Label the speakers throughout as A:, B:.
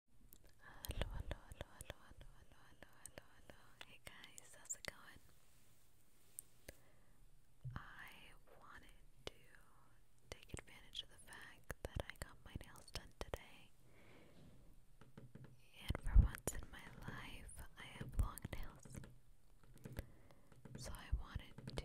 A: Hello, hello, hello, hello, hello, hello, hello, hello, Hey guys, how's it going? I wanted to take advantage of the fact that I got my nails done today. And for once in my life, I have long nails. So I wanted to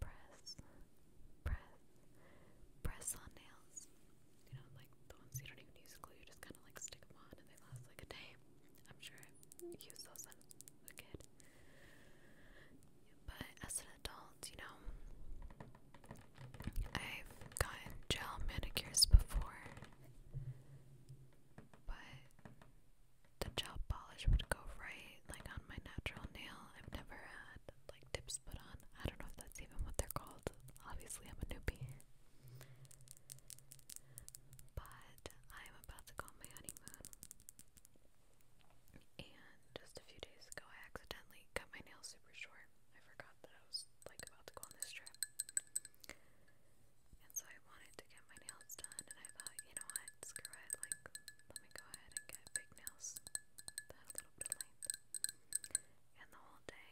A: press, press, press on nails. You know, like the ones you don't even use glue, just kind of like stick them on and they last like a day. I'm sure I used those when a kid. But as an adult, you know, I've gotten gel manicures before, but the gel polish would go right like on my natural nail. I've never had like tips put on. I don't know if that's even what they're called. Obviously, I'm a newbie. But I'm about to go on my honeymoon. And just a few days ago, I accidentally cut my nails super short. I forgot that I was like about to go on this trip. And so I wanted to get my nails done, and I thought, you know what, screw it, like, let me go ahead and get big nails that little bit length. And the whole day,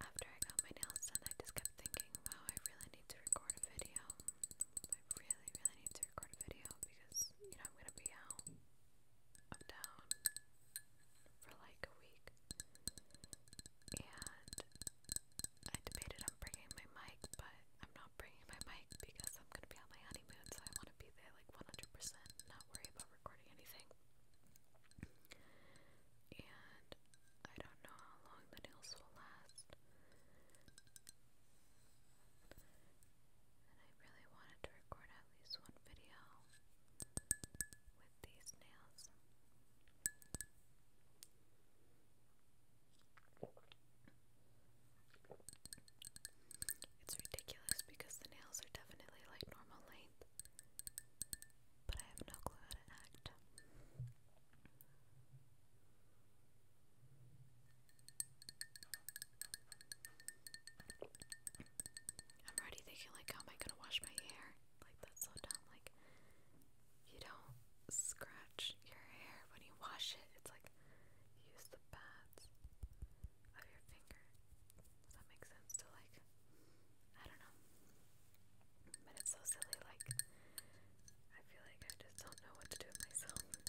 A: after I got my nails done, I just kept thinking, wow, I really need to record a video. I really, really need to record a video because, you know, I'm gonna be out of town for like a week. And I debated on bringing my mic, but I'm not bringing my mic because I'm gonna be on my honeymoon, so I want to be there like 100%, not worry about recording anything. And I don't know how long the nails will last. And I really wanted to record at least one video with these nails. It's ridiculous because the nails are definitely like normal length, but I have no clue how to act. I'm already thinking like, how am I gonna wash my hair? Like that's so dumb. Like, you don't scratch your hair when you wash it. It's like use the pads of your finger. Does that make sense to like I don't know. But it's so silly, like I feel like I just don't know what to do with myself. Okay.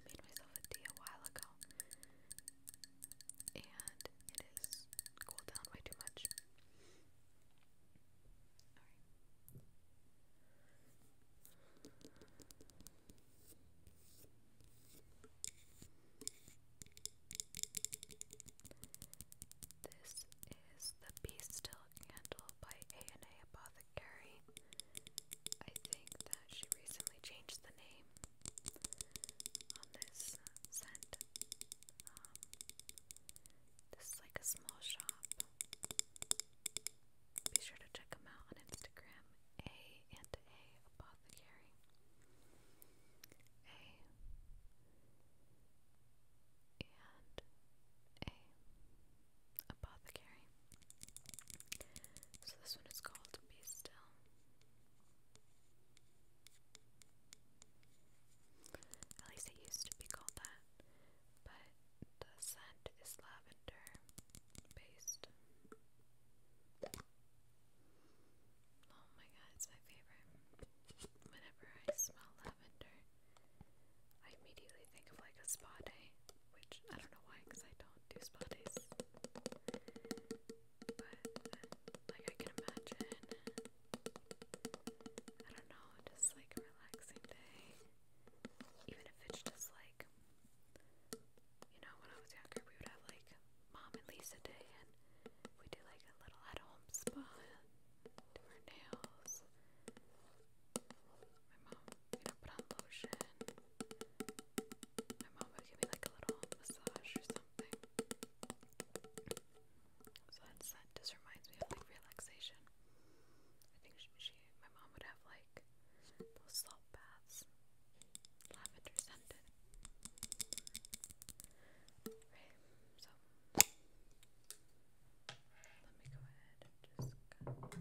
A: I made myself a tea a while ago and it is cooled down way too much. This is the Be Still Candle by A&A Apothecary. I think that she recently changed the name on this scent. Um, this is like a small shop. Be sure to check them out on Instagram. A and A Apothecary. A and A Apothecary. So this one is called Be Still. At least it used to be called that, but the scent is lavender based. Oh my god, it's my favorite. Whenever I smell lavender, I immediately think of like a spa day, which I don't know why because I don't do spa days but like I can imagine, I don't know, just like a relaxing day, even if it's just like, you know, when I was younger, we would have like mom and Lisa day, and we would do like a little at-home spa, do our nails. My mom, you put on lotion. My mom would give me like a little massage or something. So that's, that just reminds me of like relaxation. I think she, my mom would have like salt baths, lavender scented. Right, so let me go ahead and just cut like I got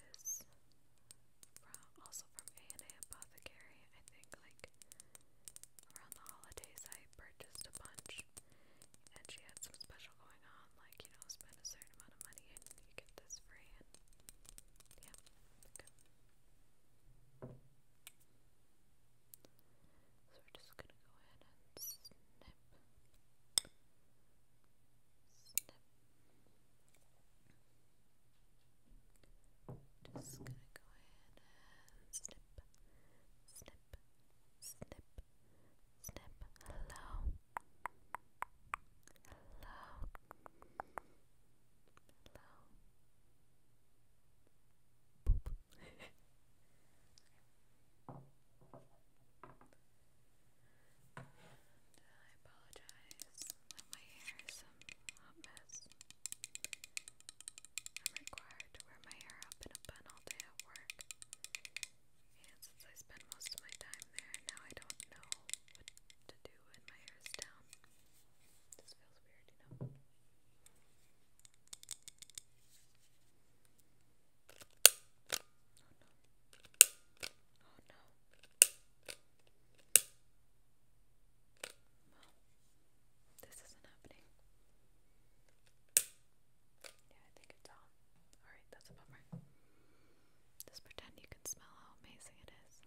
A: this from also from A&A Apothecary. I think like around the holidays I purchased a bunch and she had some special going on, like, you know, spend a certain amount of money and you get this free and yeah, okay. So we're just gonna go ahead and snip. Snip. Just gonna go ahead and snip, snip, snip, snip. Hello, hello, hello. Boop. I apologize that my hair is a mess. I'm required to wear my hair up in a bun all day at work. And since I spend most of my time there, now I don't know what to do when my hair is down. This feels weird, you know? Oh no. Well, this isn't happening. Yeah, I think it's on. Alright, that's a bummer. Just pretend you can smell how amazing it is.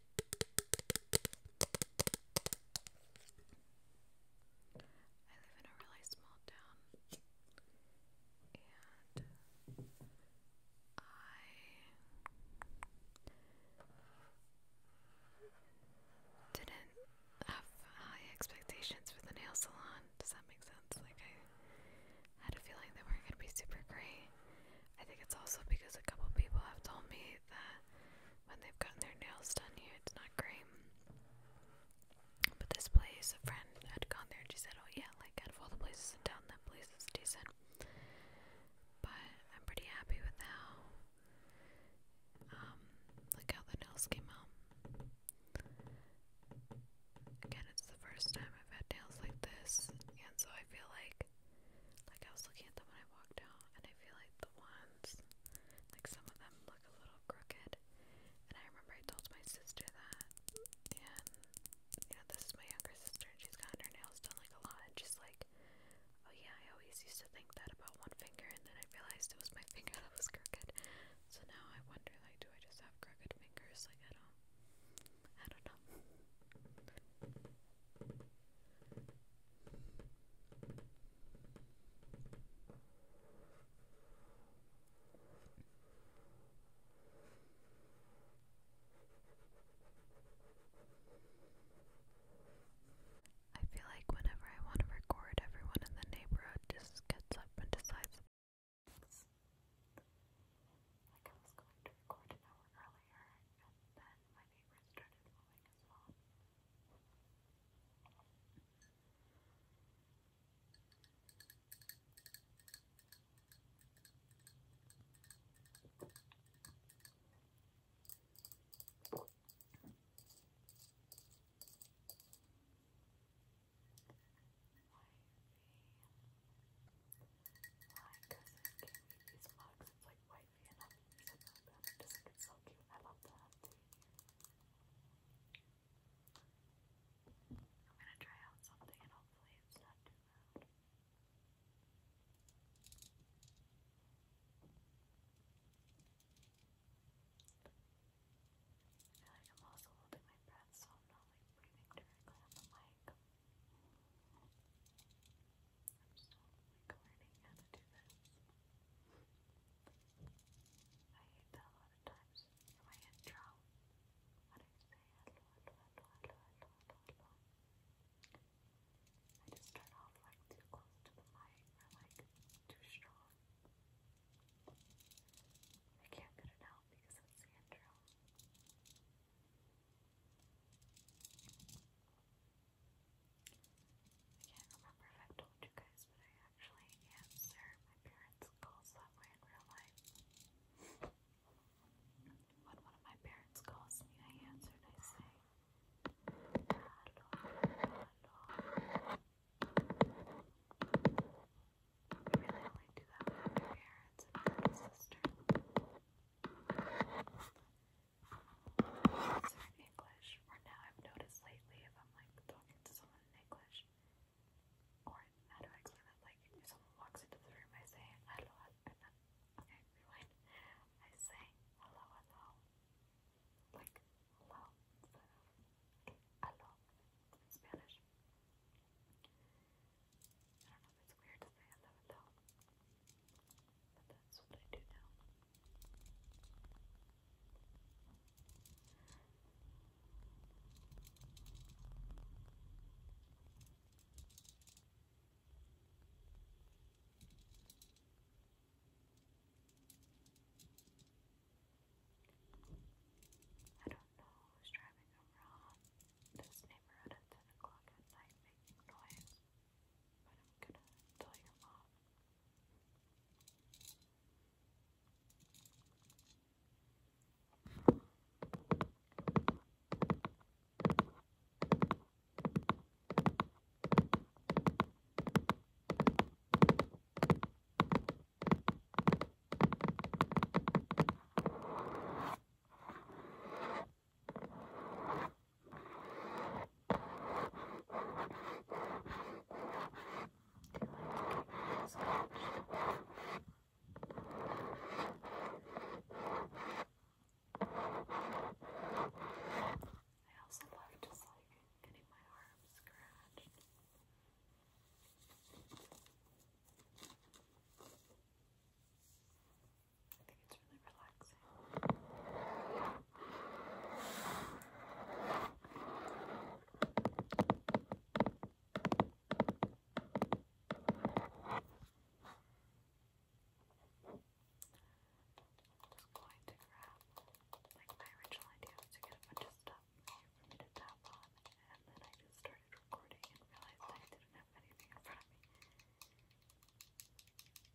A: I live in a really small town and I didn't have high expectations for the nail salon. Does that make sense? Like I had a feeling they weren't going to be super great. I think it's also because a couple people have told me say that when they've gotten their nails done here, it's not great. But this place, a friend had gone there and she said, Oh, yeah, like out of all the places in town, that place is decent. But I'm pretty happy with how, um, like how the nails came out. Again, it's the first time I've had nails like this, and so I feel like like I was looking at them when I walked out, and I feel like the ones, like some of them look a little crooked. And I remember I told my sister that, and you know, this is my younger sister, and she's gotten her nails done like a lot, and she's like, "Oh yeah, I always used to think that about one finger, and then I realized it was my finger that was crooked." So now I wonder, like, do I just have crooked fingers? Like I don't, I don't know. I feel like whenever I want to record, everyone in the neighborhood just gets up and decides. Like I was going to record an hour early earlier, and then my neighbors started mowing as well. Why my cousin gave me these mugs. It's like wifey and I'm them. It like it's I love them. I'm gonna try out something and hopefully it's not too loud. I feel like I'm also holding my breath, so I'm not like breathing directly on the mic. I'm still learning how to do this. I hate a lot of times in my I just start off like too close to the mic or like too strong. I can't get it out because it's the intro. I I can't remember if i told you guys, but I actually answer my parents' calls that way in real life. when one of my parents calls me, I answer I say, Hello, hello. I really only do that with my parents and my sister. So English, or now I've noticed lately if I'm like talking to someone in English, or how do I explain that? Like if someone walks into the room, I say hello, and then okay, rewind. I say hello, like hello instead hello Spanish. I don't know if it's weird to say it though, but that's what I do now. I don't know who's driving around this neighborhood at 10 o'clock at night making noise, but I'm gonna tell your mom. I also love just like getting my arm scratched. I think it's really relaxing. I'm going to grab, like, my original idea to get a bunch of stuff for me to tap on, and then I just started recording and realized I didn't have have hopefully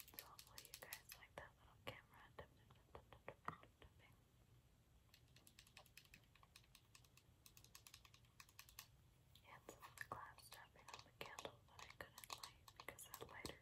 A: you guys like that little camera And some of the clouds tapping on the candle that I couldn't light because that lighter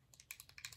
A: Pass down on the candle.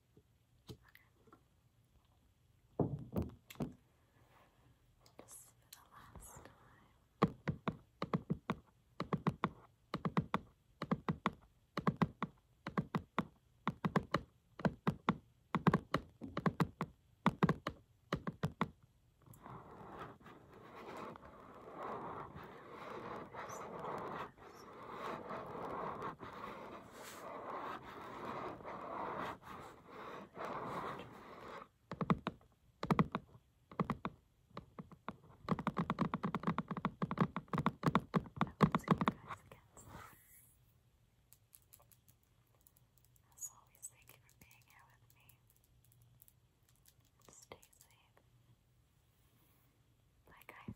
A: Okay. Just the last time. As always, thank you for being here with me. Stay safe. Bye,